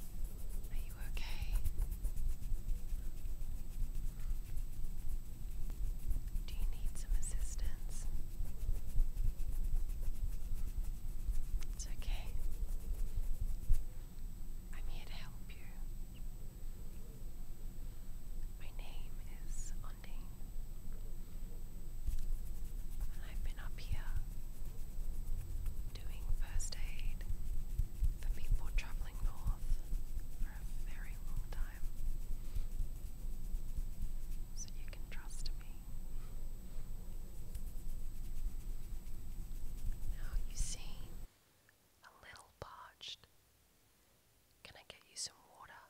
Are you okay? Do you need some assistance? It's okay. I'm here to help you. My name is Ondine. And I've been up here doing first aid for people traveling north for a very long time. So you can trust me. Now you seem a little parched. Can I get you some water?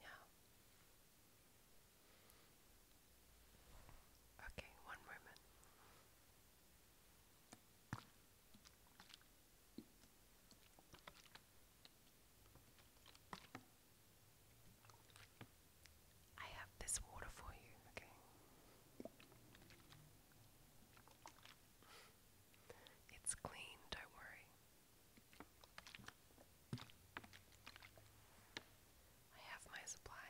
Yeah. Okay, one moment. I have this water for you, okay? It's clean, don't worry. I have my supplies.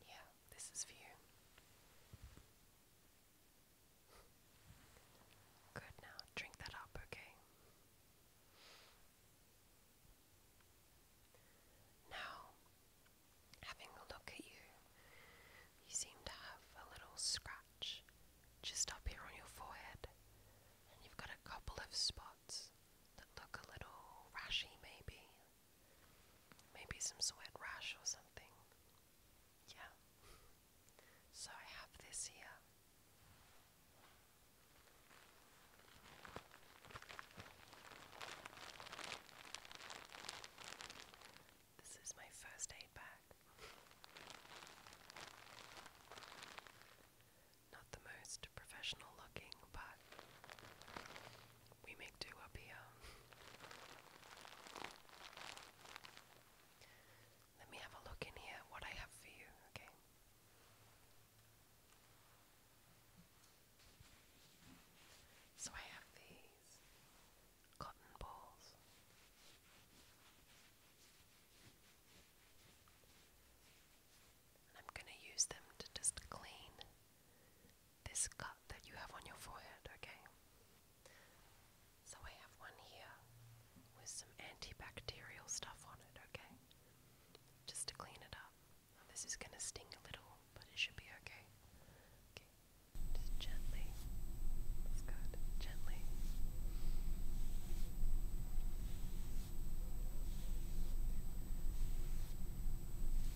Yeah, this is for you. Good now, drink that up, okay? Now, having a look at you, you seem to have a little scratch just up here on your forehead, and you've got a couple of spots that look a little rashy, maybe, Maybe some sweat rash or something. Yeah. So I have this here. This is my first aid bag. Not the most professional looking, but we make do up here. Let me have a look in here what I have for you, okay? So I have these cotton balls. I'm going to use them to just clean this cut that you have on your forehead, okay? So I have one here with some antibacterial stuff on it, okay? Just to clean it up. This is going to sting a little, but it should be okay. Okay, just gently. That's good. Gently.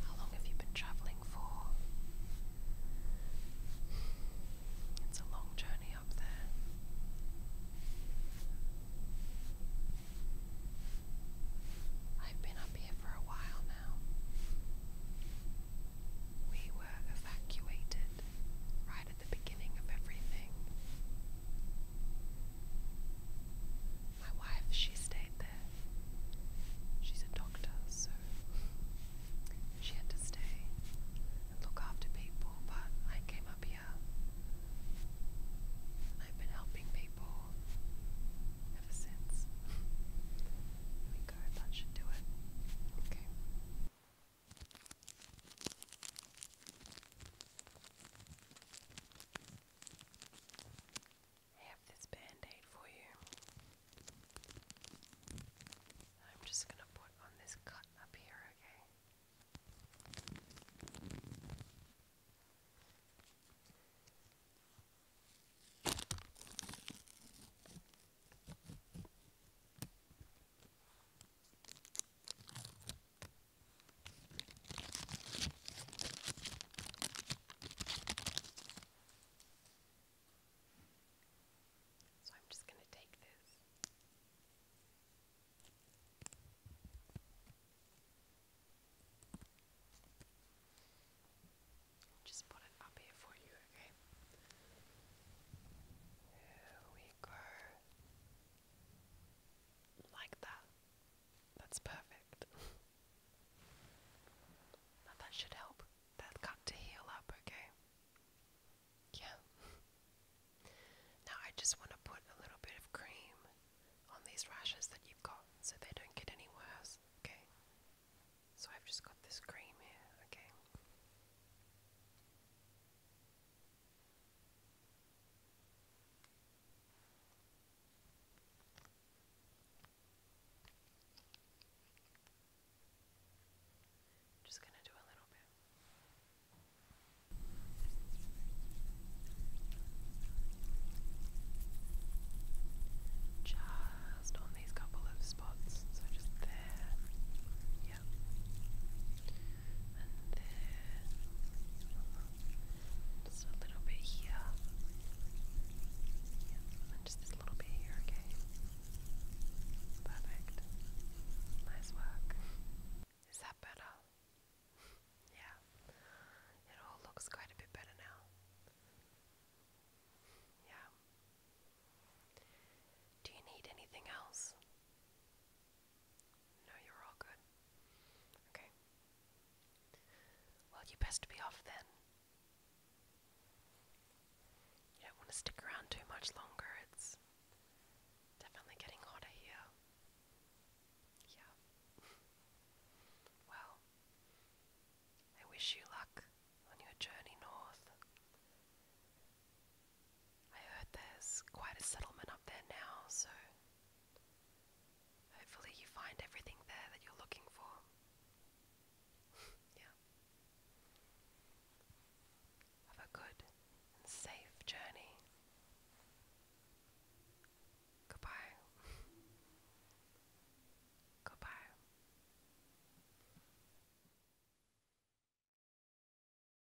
How long have you been traveling for? It's a long journey up there. I've been up here for a while now. We were evacuated right at the beginning of everything my wife, she stayed there. She's a doctor, so she had to stay and look after people, but I came up here and I've been helping people ever since. There we go, that should do it. Okay. I have this band for you. I'm just going to put on this cut up here, Okay. So I'm just going to take this. Just put it up here for you, okay? we go. Like that. That's perfect. that should help that cut to heal up, okay? Yeah. now I just want to put a little bit of cream on these rashes that you've got so they don't get any worse, okay? So I've just got this cream here, okay? Just going to do a little bit. Just on these couple of spots, so just there, yeah, and there, just a little bit here. Yeah, and just this little bit here, okay? Perfect. Nice work. Is that better? yeah. It all looks quite a bit better now. Yeah. Do you need anything else? No, you're all good. Okay. Well, you best be off then. You don't want to stick around too much longer. It's definitely getting hotter here. Yeah. well, I wish you luck on your journey north. I heard there's quite a settlement up there now, so hopefully you find everything there that you're looking for. yeah. Have a good safe journey. Goodbye. Goodbye.